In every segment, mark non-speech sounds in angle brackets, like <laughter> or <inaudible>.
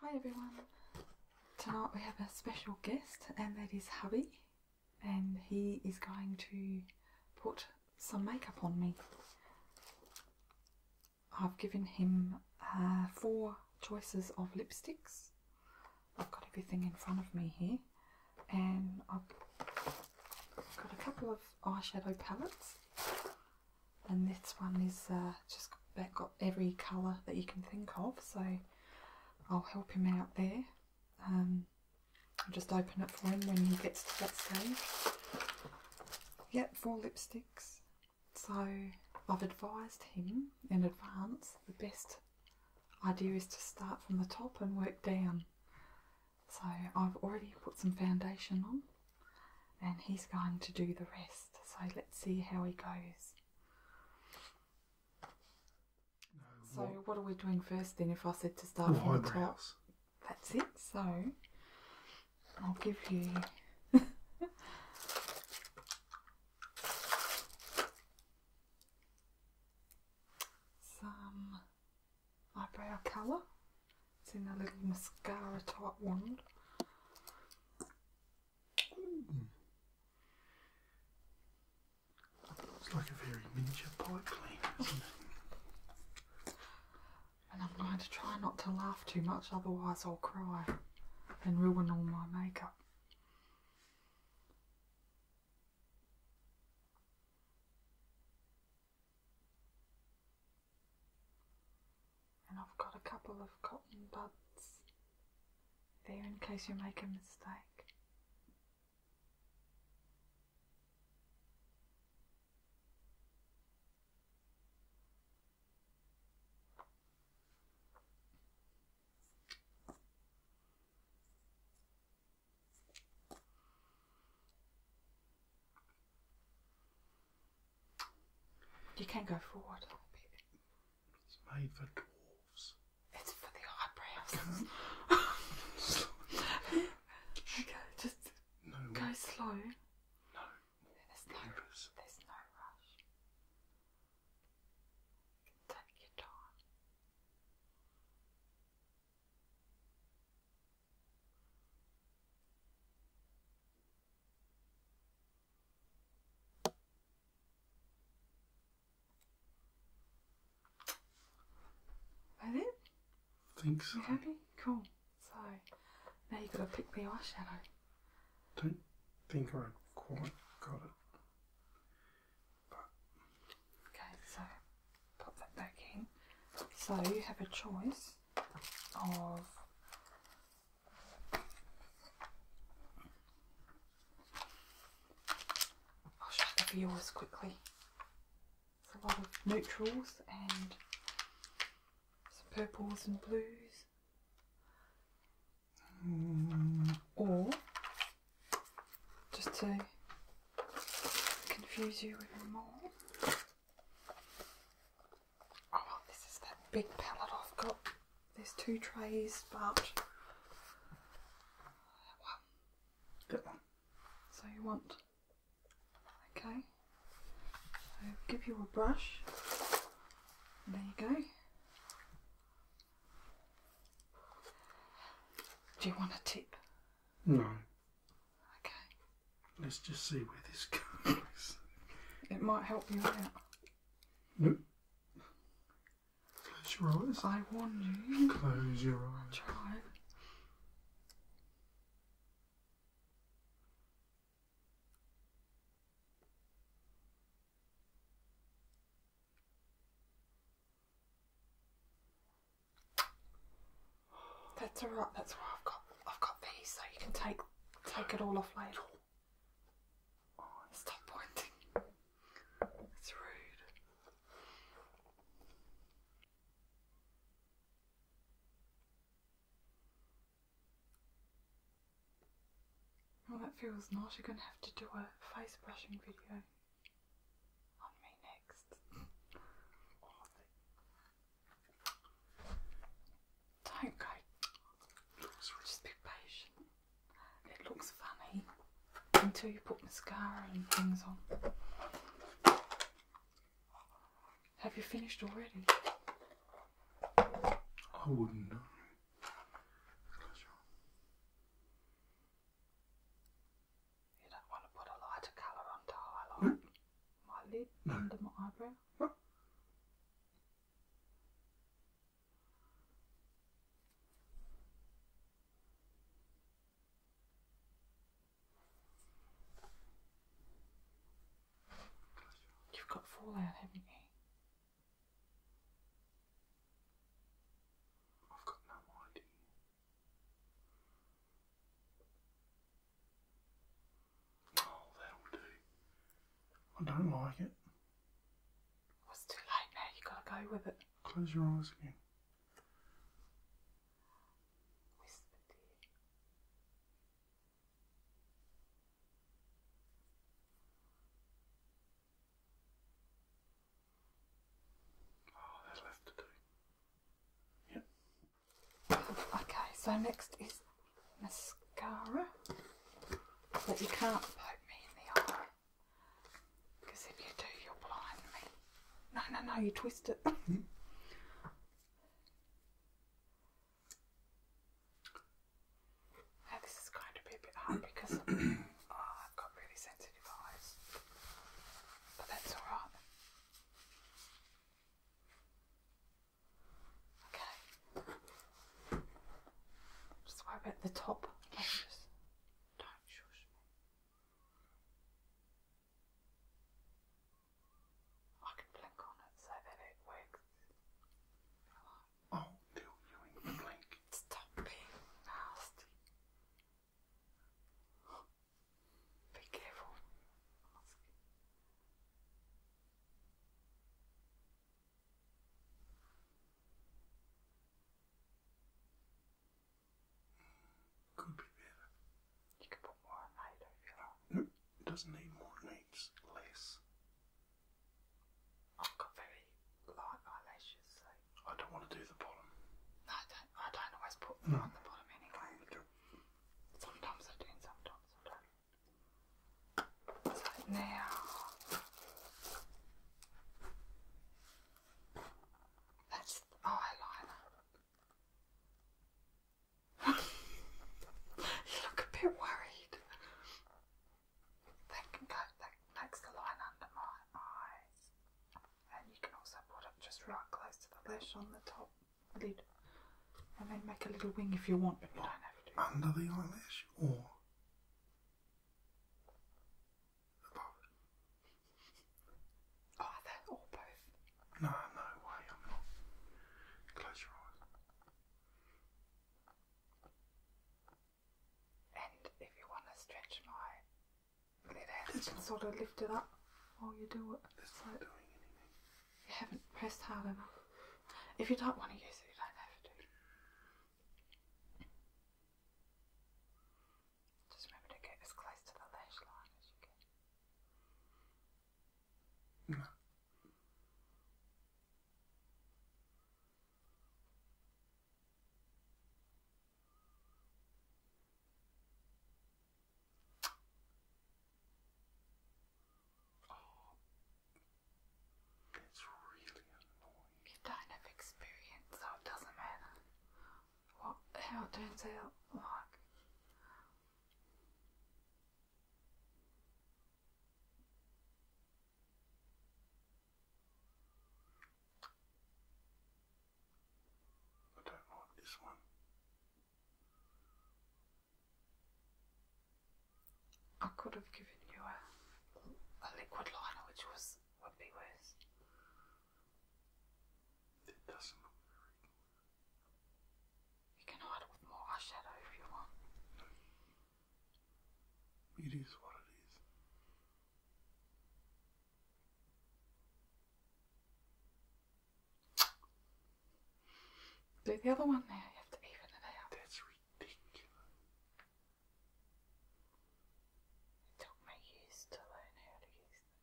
Hi everyone. Tonight we have a special guest and that is Hubby and he is going to put some makeup on me. I've given him uh, four choices of lipsticks. I've got everything in front of me here and um, I've got a couple of eyeshadow palettes and this one is uh, just about got every colour that you can think of so I'll help him out there um, I'll just open it for him when he gets to that stage yep four lipsticks so I've advised him in advance the best idea is to start from the top and work down. So I've already put some foundation on and he's going to do the rest. So let's see how he goes. so what? are we doing first then if I said to start no, from the top? That's it. So I'll give you <laughs> some eyebrow colour. It's in a little mascara type wand. Mm. It's like a very miniature pipe cleaner, And I'm going to try not to laugh too much, otherwise I'll cry and ruin all my makeup. And I've got a couple of cotton buds there in case you make a mistake. You can not go forward It's made for dwarves. It's for the eyebrows. <laughs> okay, just go slow. No. there's no rush. Take your time. That Think so. You happy? Cool. So now you have gotta pick the eyeshadow. Don't think I quite got it okay, so pop that back in. So you have a choice of I'll show the viewers quickly. It's a lot of neutrals and some purples and blues. Mm, or just to confuse you even more. Oh this is that big palette I've got. There's two trays, but one. So you want okay. So give you a brush. There you go. Do you want a tip? No. Okay. Let's just see where this <laughs> goes. It might help you out. Nope. Close your eyes. I warn you. Close your eyes. Try. That's all right. That's all right. I've got I've got these, so you can take take it all off later. Oh, stop pointing. It's rude. Well, oh, that feels not. You're going to have to do a face brushing video on me next. Don't go. Just be patient. It looks funny until you put mascara and things on. Have you finished already? I wouldn't know. You don't want to put a lighter colour on to highlight my lid under my eyebrow? You've got fallout, haven't you? I've got no idea. Oh, that'll do. I don't like it. Well, it's too late now. You have gotta go with it. Close your eyes again. Whisper, Oh, okay, so next is mascara. But you can't poke me in the eye. Because if you do, you'll blind me. No, no, no, you twist it. Mm-hmm. Now this is going to be a bit hard because <clears throat> oh, I've got really sensitive eyes, but that's alright. Okay. Just worry about the top. Don't shush me. I can blink on it so that it works. I'll kill you in the Stop being nasty. Be careful. Could be better. You can put more on later if you like. No, it doesn't need more, needs less. I've got very light eyelashes, I don't want to do the bottom. I don't. I don't always put No. on the bottom anyway. Sometimes I do, sometimes I don't. now that's eyeliner. <laughs> you look a bit worried. They can go, that makes the line under my eyes. And you can also put it just right close to the lash on the top lid. And then make a little wing if you want, Under the eyelash or above it? Either or both. No, no way, I'm not. Close your eyes. And if you want to stretch my lid you can sort of lift it up while you do it. It's You haven't pressed hard enough. If you don't want to use it, you don't have to. Just remember to get as close to the lash line as you can. No. Oh, it's really annoying. You don't have experience, so it doesn't matter what how turns out like. I don't like this one. I could have given you a, liquid liner, which was would be worse. It doesn't look You can hide more eyeshadow if you want. It is what it is. Do the other one there. You have to even it out. That's ridiculous. It took me years to learn how to use them.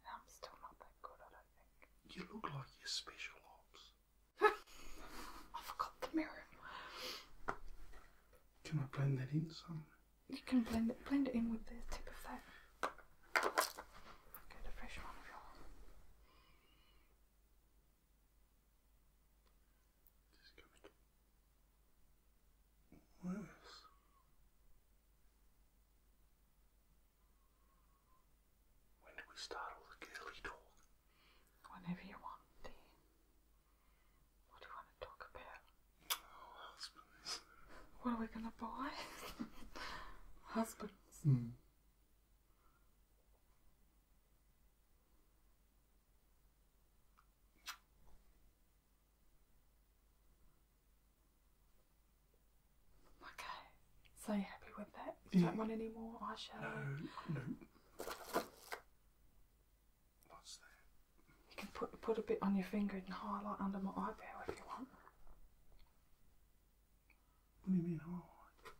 And I'm still not that good, I do You look like you're special ops. I forgot the mirror. Can I blend that in some? You can blend it blend it in with the tip of that. Get a fresh one of yours. When do we start all the girly talk? Whenever you want, Dean. What do you want to talk about? Oh, husbands. What are we going to buy? <laughs> husbands. Hmm. Okay so happy with that. You don't want any more eyeshadow? No, What's that? You can put put a bit on your finger and highlight under my eyebrow if you want. What do you mean highlight?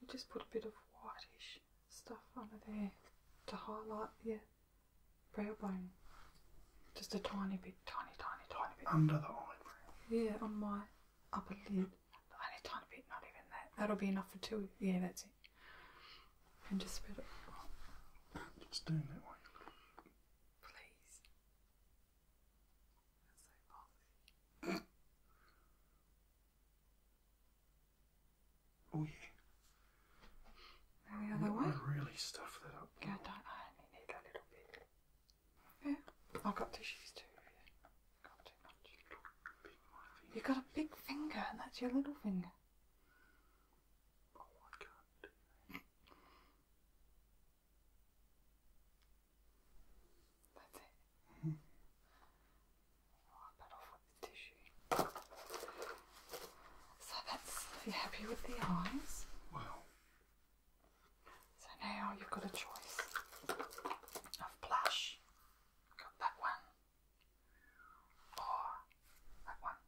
You just put a bit of whitish stuff under there to highlight the brow bone. Just a tiny bit, tiny, tiny, tiny bit. Under the eyebrow? Yeah, on my up a I need a tiny bit, not even that. That'll be enough for two. Yeah, that's it. And just spread it. It's doing that way. Please. That's so bossy. oh yeah. the other way. really stuffed that up. Yeah, I only need a little bit. I've got tissues too. You've got a big finger, and that's your little finger. Oh, I can That's it. Mm-hmm. Oh, I'll bet off with the tissue. So that's. Are you happy with the eyes? Well, so now you've got a choice of blush, got that one, or that one.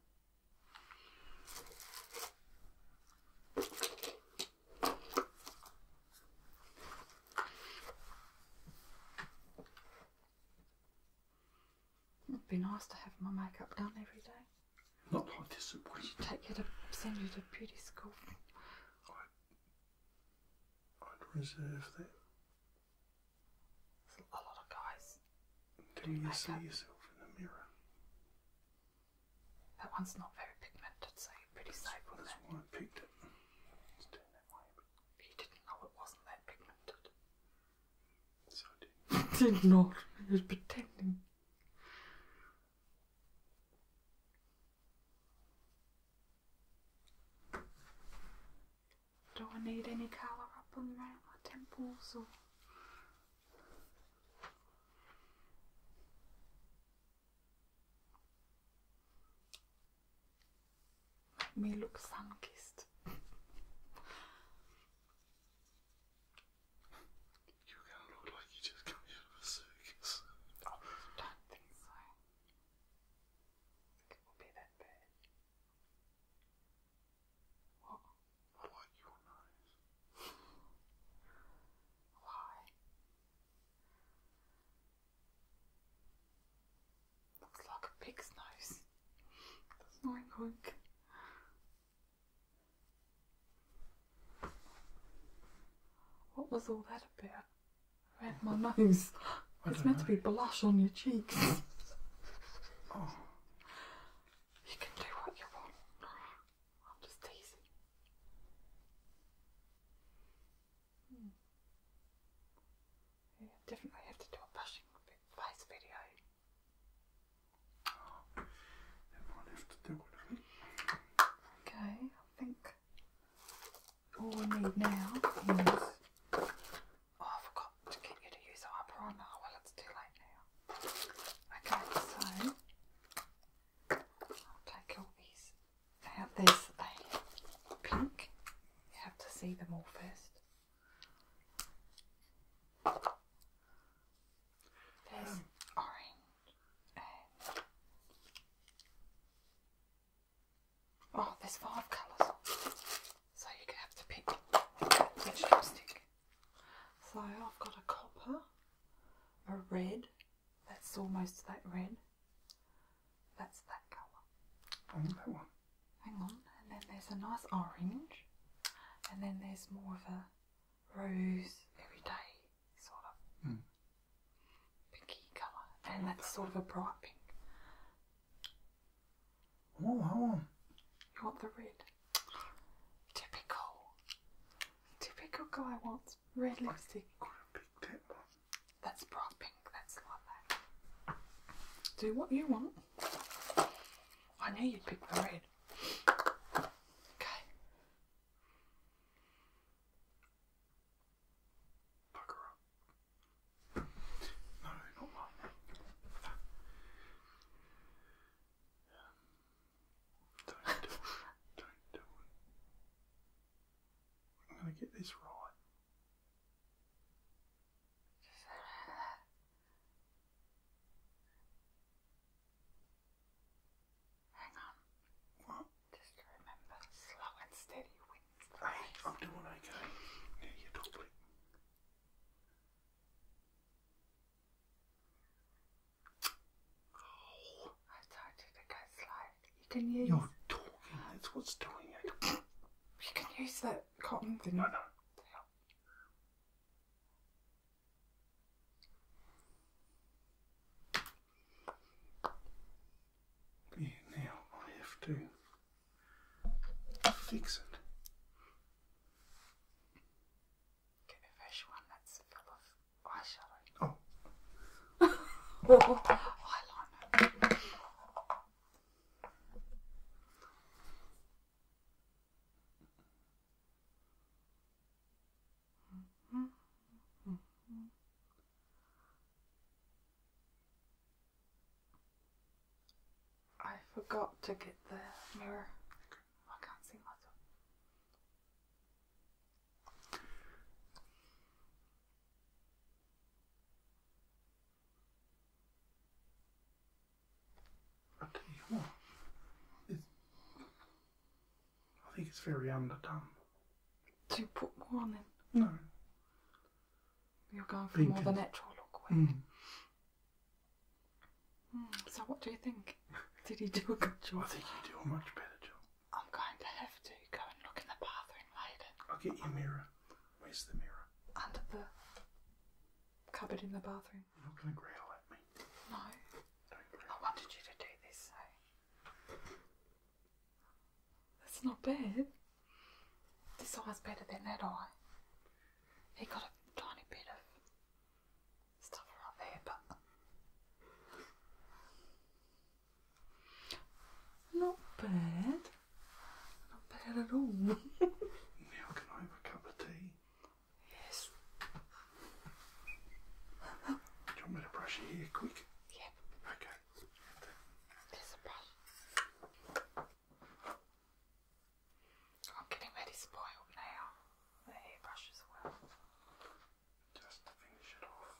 It'd be nice to have my makeup done every day. Not like this, Should would Take you to send you to beauty school. I'd reserve that. There's a lot of guys. Do you see yourself in the mirror? That one's not very pigmented, so you're pretty that's, safe with it. That's why I picked it. that way. You didn't know it wasn't that pigmented. So did. <laughs> did not. I was pretending do I need any colour up on my temples or Let me look sun kissed. You kind of look like you just come out of a circus. I don't think so. think it will be that bad. What? I your nose. Why? Looks like a pig's nose. Doesn't it, what was all that about? Around my <laughs> nose. It's meant to be blush on your cheeks. <laughs> You can do what you want. I'm just teasing. Hmm. Yeah, definitely have to do a blushing face video. everyone have to do it. Okay, I think all we need now is. Oh, I forgot to get you to use the eye primer. Well, it's too late now. Okay, so I'll take all these out. There's a pink. You have to see them all first. There's orange oh, there's five colours, so you can have to pick which lipstick. So I've got a copper, a red. That's almost that red. That's that colour. And that one. Hang on, and then there's a nice orange, and then there's more of a rose everyday sort of mm. pinky colour, and that's sort of a bright pink. Oh, oh. You want the red? Typical. Typical guy wants red lipstick. That's bright pink. That's like Do what you want. I know you'd pick the red. Okay. Bugger up. No, not mine. don't do it. Don't I'm going to get this right. Hang on. Just remember, slow and steady wins the race. I'm doing okay. Yeah, you got I told to go slow. You can use. You're talking. That's what's doing it. You can use that cotton thing. No, no now I have to fix it. Get a fresh one that's full eyeshadow. oh, <laughs> oh eyeliner. I forgot to get the mirror. I can't see myself. I I think it's very underdone. To put more on then? No. You're going for more the natural look. Mm. so what do you think? Did he do a good job? I think he did a much better job. I'm going to have to go and look in the bathroom later. I'll get you a mirror. Where's the mirror? Under the cupboard in the bathroom. You're not going to at me. No. I wanted you to do this, so. That's not bad. This eye's better than that eye. He got a tiny bit of stuff right there, but. Not bad. Not bad at all. <laughs> now, can I have a cup of tea? Yes. Do you want me to brush your hair quick? Yep. Okay. There's a brush. I'm getting very spoiled now. The hairbrush as well. Just to finish it off.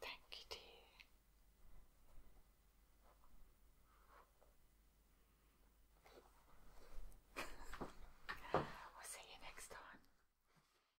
Thank you, <laughs> we'll see you next time.